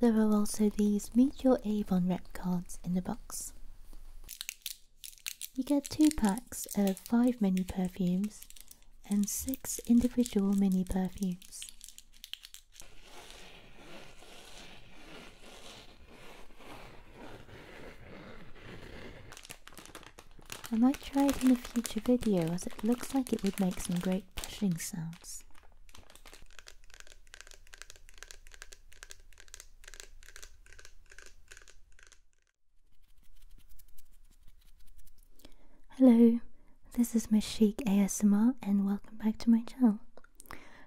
There are also these Meet Your Avon rep cards in the box. You get two packs of five mini perfumes and six individual mini perfumes. I might try it in a future video as it looks like it would make some great pushing sounds. Hello, this is my Chic ASMR and welcome back to my channel.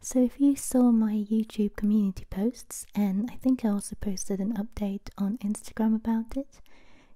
So if you saw my YouTube community posts and I think I also posted an update on Instagram about it,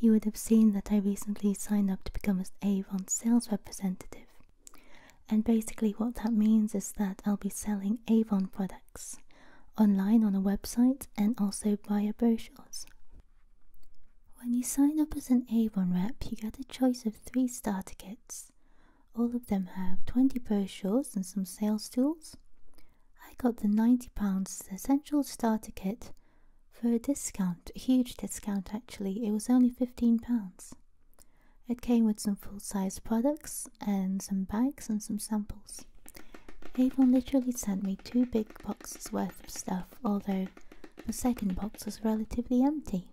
you would have seen that I recently signed up to become an Avon sales representative. And basically, what that means is that I'll be selling Avon products online on a website and also via brochures. When you sign up as an Avon rep, you get a choice of three starter kits. All of them have 20 brochures and some sales tools. I got the £90 essential starter kit for a discount, a huge discount actually, it was only £15. It came with some full size products and some bags and some samples. Avon literally sent me two big boxes worth of stuff, although the second box was relatively empty.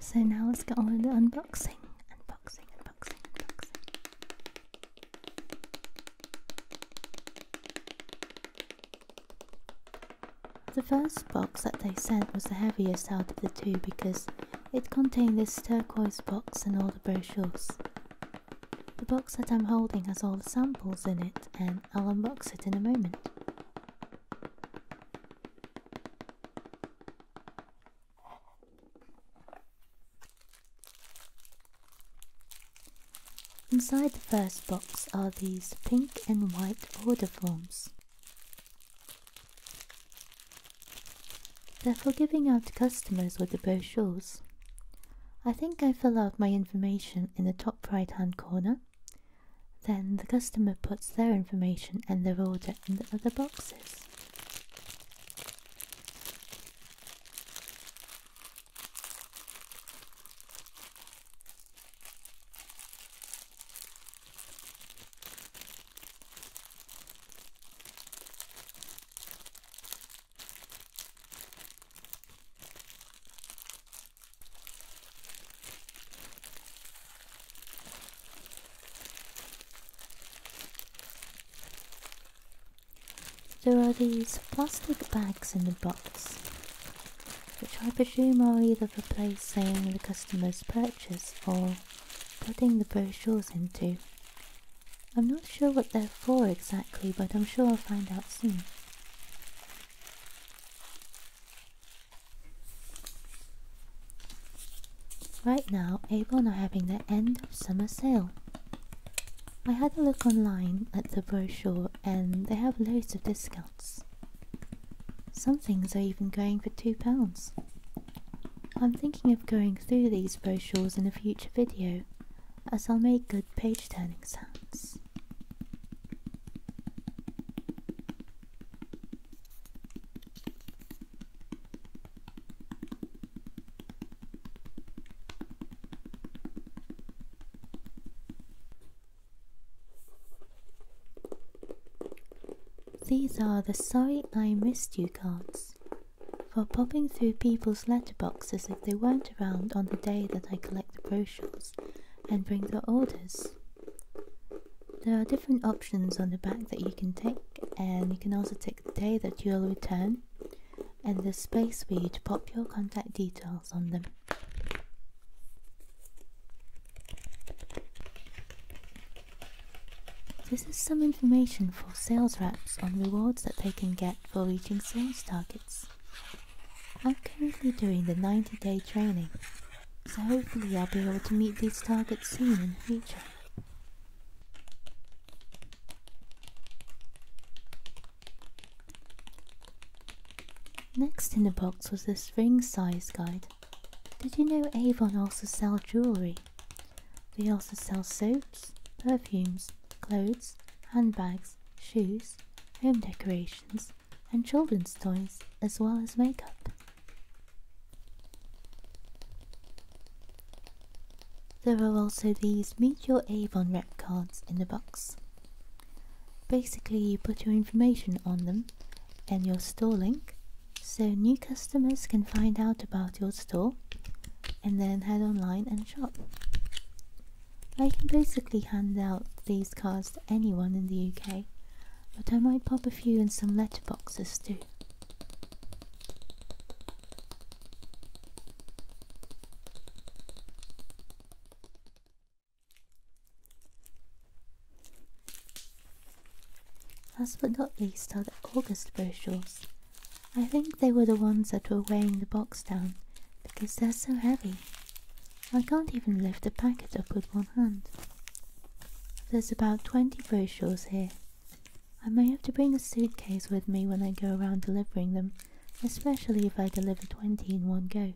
So now let's get on with the unboxing. Unboxing, unboxing, unboxing. The first box that they sent was the heaviest out of the two because it contained this turquoise box and all the brochures. The box that I'm holding has all the samples in it and I'll unbox it in a moment. Inside the first box are these pink and white order forms. They're for giving out to customers with the brochures. I think I fill out my information in the top right hand corner. Then the customer puts their information and their order in the other boxes. There are these plastic bags in the box which I presume are either for placing the customer's purchase or putting the brochures into. I'm not sure what they're for exactly, but I'm sure I'll find out soon. Right now, Avon are having their end of summer sale. I had a look online at the brochure and they have loads of discounts. Some things are even going for £2. I'm thinking of going through these brochures in a future video as I'll make good page turning sounds. These are the sorry I missed you cards for popping through people's letterboxes if they weren't around on the day that I collect the brochures and bring the orders. There are different options on the back that you can take, and you can also take the day that you'll return, and the space for you to pop your contact details on them. This is some information for sales reps on rewards that they can get for reaching sales targets. I'm currently doing the 90 day training, so hopefully I'll be able to meet these targets soon in the future. Next in the box was this ring size guide. Did you know Avon also sell jewellery? They also sell soaps, perfumes, clothes, handbags, shoes, home decorations, and children's toys, as well as makeup. There are also these Meet Your Avon rep cards in the box. Basically, you put your information on them and your store link so new customers can find out about your store and then head online and shop. I can basically hand out these cards to anyone in the UK, but I might pop a few in some letterboxes too. Last but not least are the August brochures. I think they were the ones that were weighing the box down because they're so heavy. I can't even lift the packet up with one hand. There's about 20 brochures here. I may have to bring a suitcase with me when I go around delivering them, especially if I deliver 20 in one go.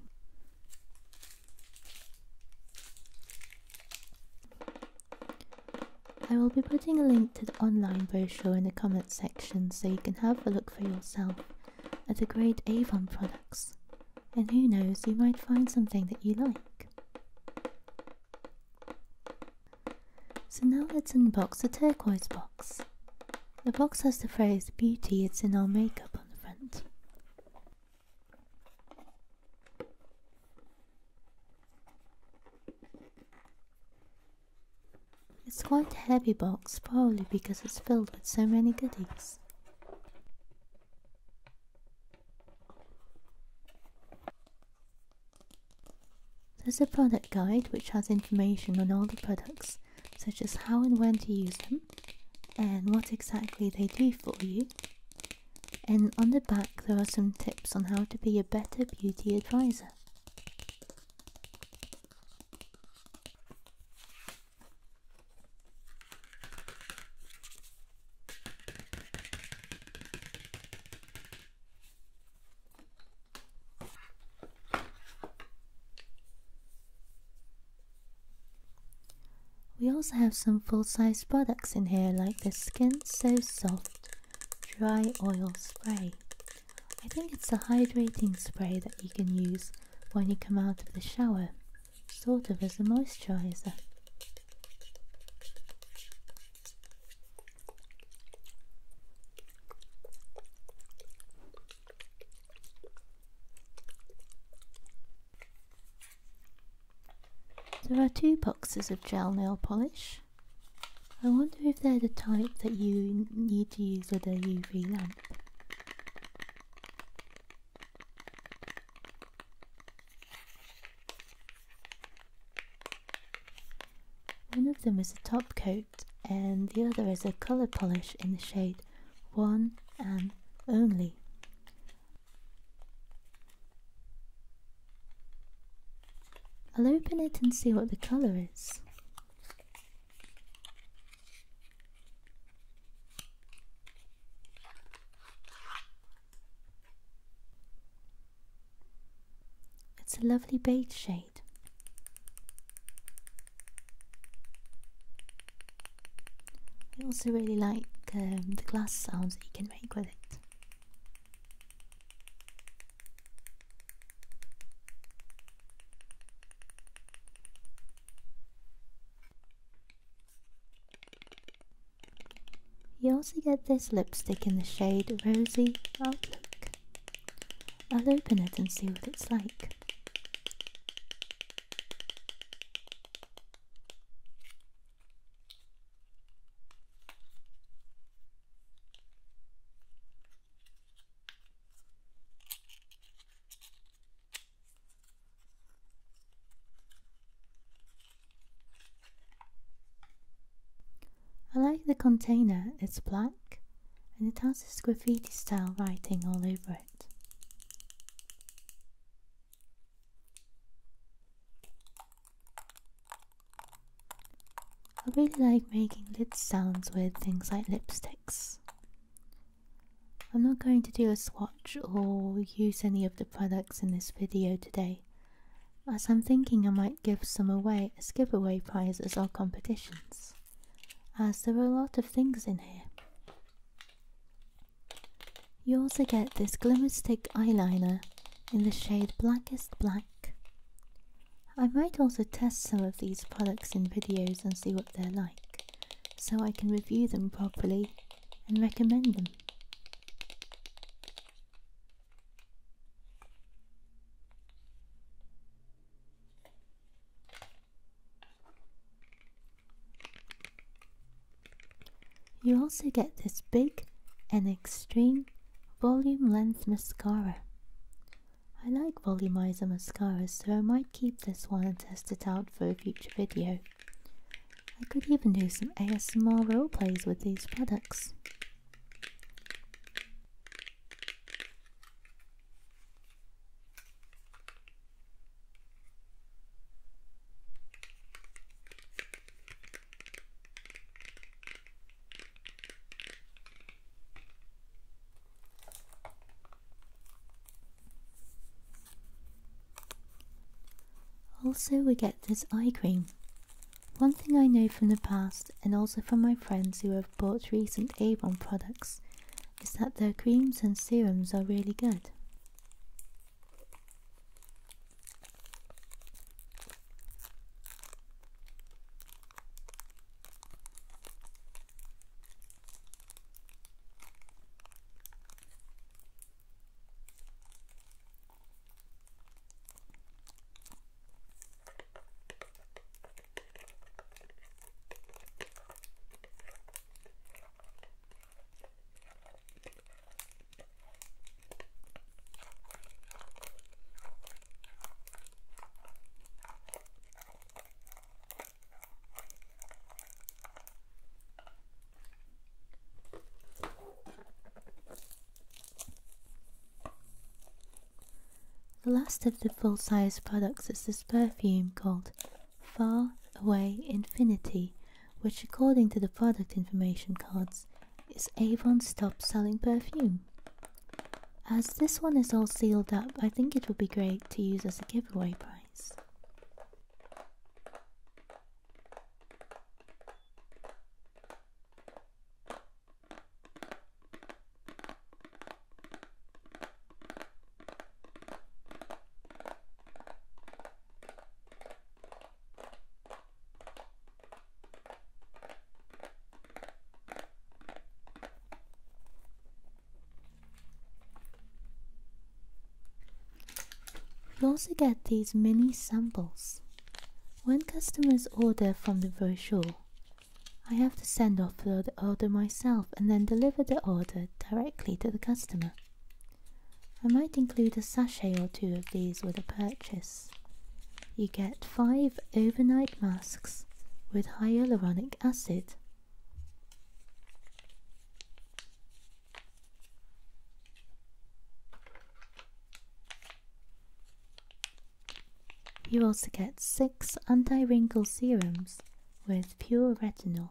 I will be putting a link to the online brochure in the comments section so you can have a look for yourself at the great Avon products. And who knows, you might find something that you like. So now let's unbox the turquoise box. The box has the phrase beauty, it's in our makeup on the front. It's quite a heavy box, probably because it's filled with so many goodies. There's a product guide which has information on all the products such as how and when to use them and what exactly they do for you. And on the back, there are some tips on how to be a better beauty advisor. We also have some full-size products in here like the Skin So Soft Dry Oil Spray. I think it's a hydrating spray that you can use when you come out of the shower, sort of as a moisturizer. There are two boxes of gel nail polish. I wonder if they're the type that you need to use with a UV lamp. One of them is a top coat and the other is a colour polish in the shade one and only. I'll open it and see what the colour is. It's a lovely beige shade. I also really like um, the glass sounds that you can make with it. You also get this lipstick in the shade Rosy Outlook. I'll open it and see what it's like. I like the container, it's black and it has this graffiti style writing all over it. I really like making lid sounds with things like lipsticks. I'm not going to do a swatch or use any of the products in this video today, as I'm thinking I might give some away as giveaway prizes or competitions, as there are a lot of things in here. You also get this glimmer stick eyeliner in the shade Blackest Black. I might also test some of these products in videos and see what they're like, so I can review them properly and recommend them. You also get this big and extreme volume length mascara. I like volumizer mascaras so I might keep this one and test it out for a future video. I could even do some ASMR roleplays with these products. Also, we get this eye cream. One thing I know from the past, and also from my friends who have bought recent Avon products, is that their creams and serums are really good. The last of the full-size products is this perfume called far away infinity, which according to the product information cards is Avon stopped selling perfume. As this one is all sealed up, I think it would be great to use as a giveaway prize. You also get these mini samples. When customers order from the brochure, I have to send off the order myself and then deliver the order directly to the customer. I might include a sachet or two of these with a purchase. You get five overnight masks with hyaluronic acid. You also get six anti wrinkle serums with pure retinol.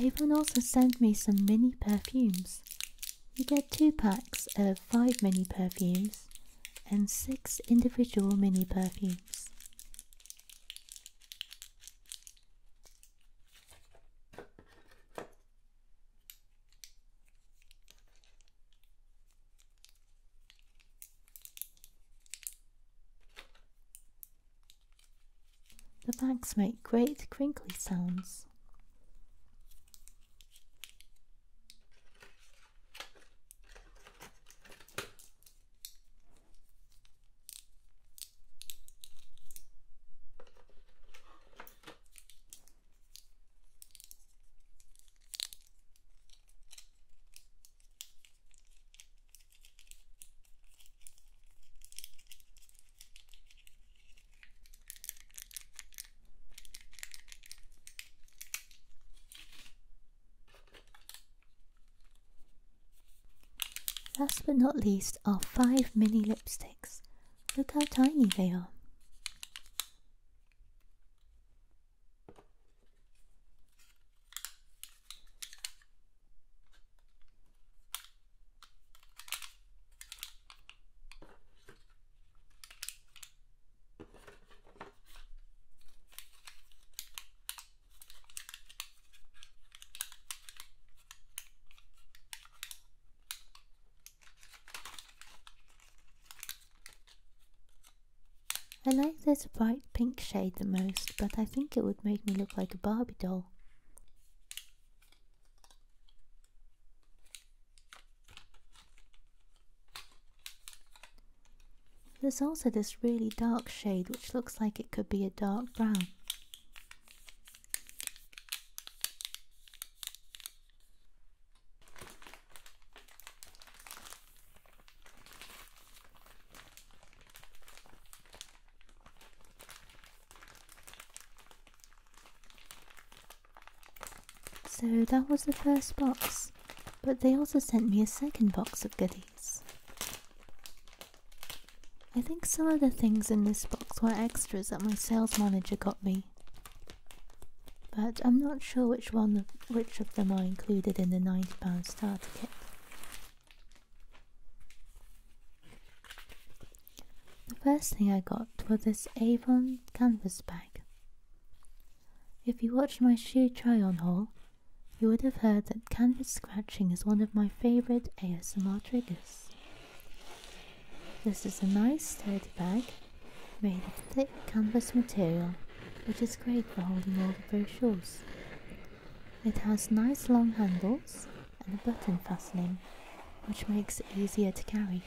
Avon also sent me some mini perfumes. You get two packs of five mini perfumes and six individual mini perfumes. The bags make great crinkly sounds. Last but not least are five mini lipsticks. Look how tiny they are. I like this by pink shade the most, but I think it would make me look like a Barbie doll. There's also this really dark shade which looks like it could be a dark brown. So that was the first box, but they also sent me a second box of goodies. I think some of the things in this box were extras that my sales manager got me. But I'm not sure which one of, which of them are included in the £90 starter kit. The first thing I got was this Avon canvas bag. If you watched my shoe try on haul, you would have heard that canvas scratching is one of my favourite ASMR triggers. This is a nice sturdy bag made of thick canvas material which is great for holding all the brochures. It has nice long handles and a button fastening, which makes it easier to carry.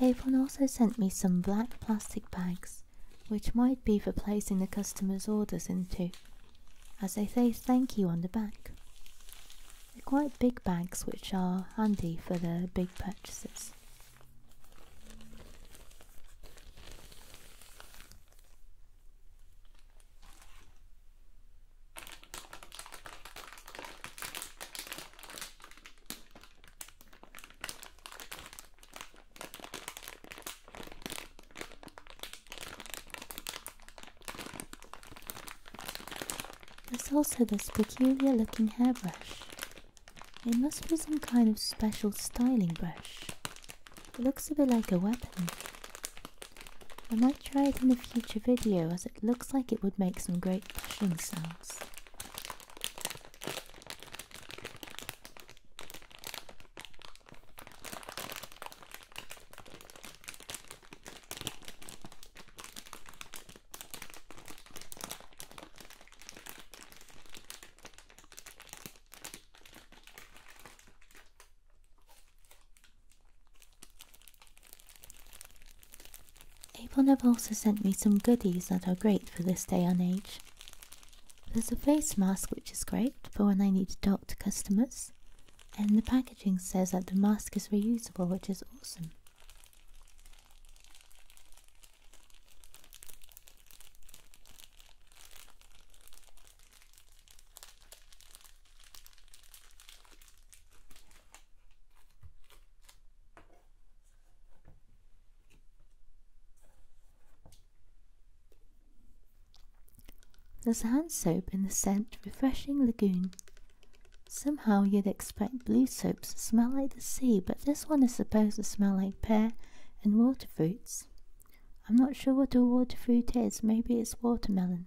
Avon also sent me some black plastic bags, which might be for placing the customer's orders into, as they say thank you on the back. They're quite big bags, which are handy for the big purchases. There's also this peculiar looking hairbrush. It must be some kind of special styling brush. It looks a bit like a weapon, I might try it in a future video as it looks like it would make some great pushing sounds have also sent me some goodies that are great for this day and age. There's a face mask which is great for when I need to talk to customers, and the packaging says that the mask is reusable, which is awesome. There's hand soap in the scent Refreshing Lagoon. Somehow you'd expect blue soaps to smell like the sea, but this one is supposed to smell like pear and water fruits. I'm not sure what a water fruit is, maybe it's watermelon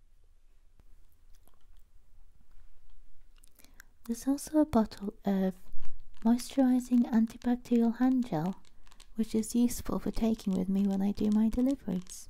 There's also a bottle of moisturizing antibacterial hand gel, which is useful for taking with me when I do my deliveries.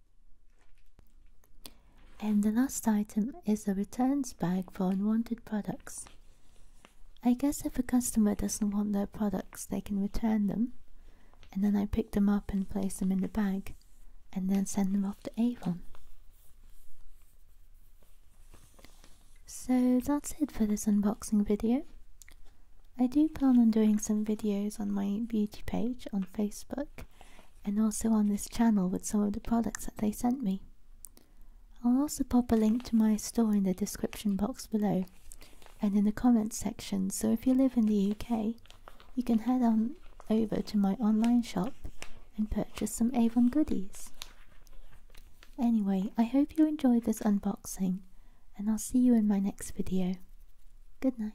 And the last item is a returns bag for unwanted products. I guess if a customer doesn't want their products, they can return them. And then I pick them up and place them in the bag, and then send them off to Avon. So that's it for this unboxing video. I do plan on doing some videos on my beauty page on Facebook and also on this channel with some of the products that they sent me. I'll also pop a link to my store in the description box below and in the comments section, so if you live in the UK, you can head on over to my online shop and purchase some Avon goodies. Anyway, I hope you enjoyed this unboxing and I'll see you in my next video. Good night.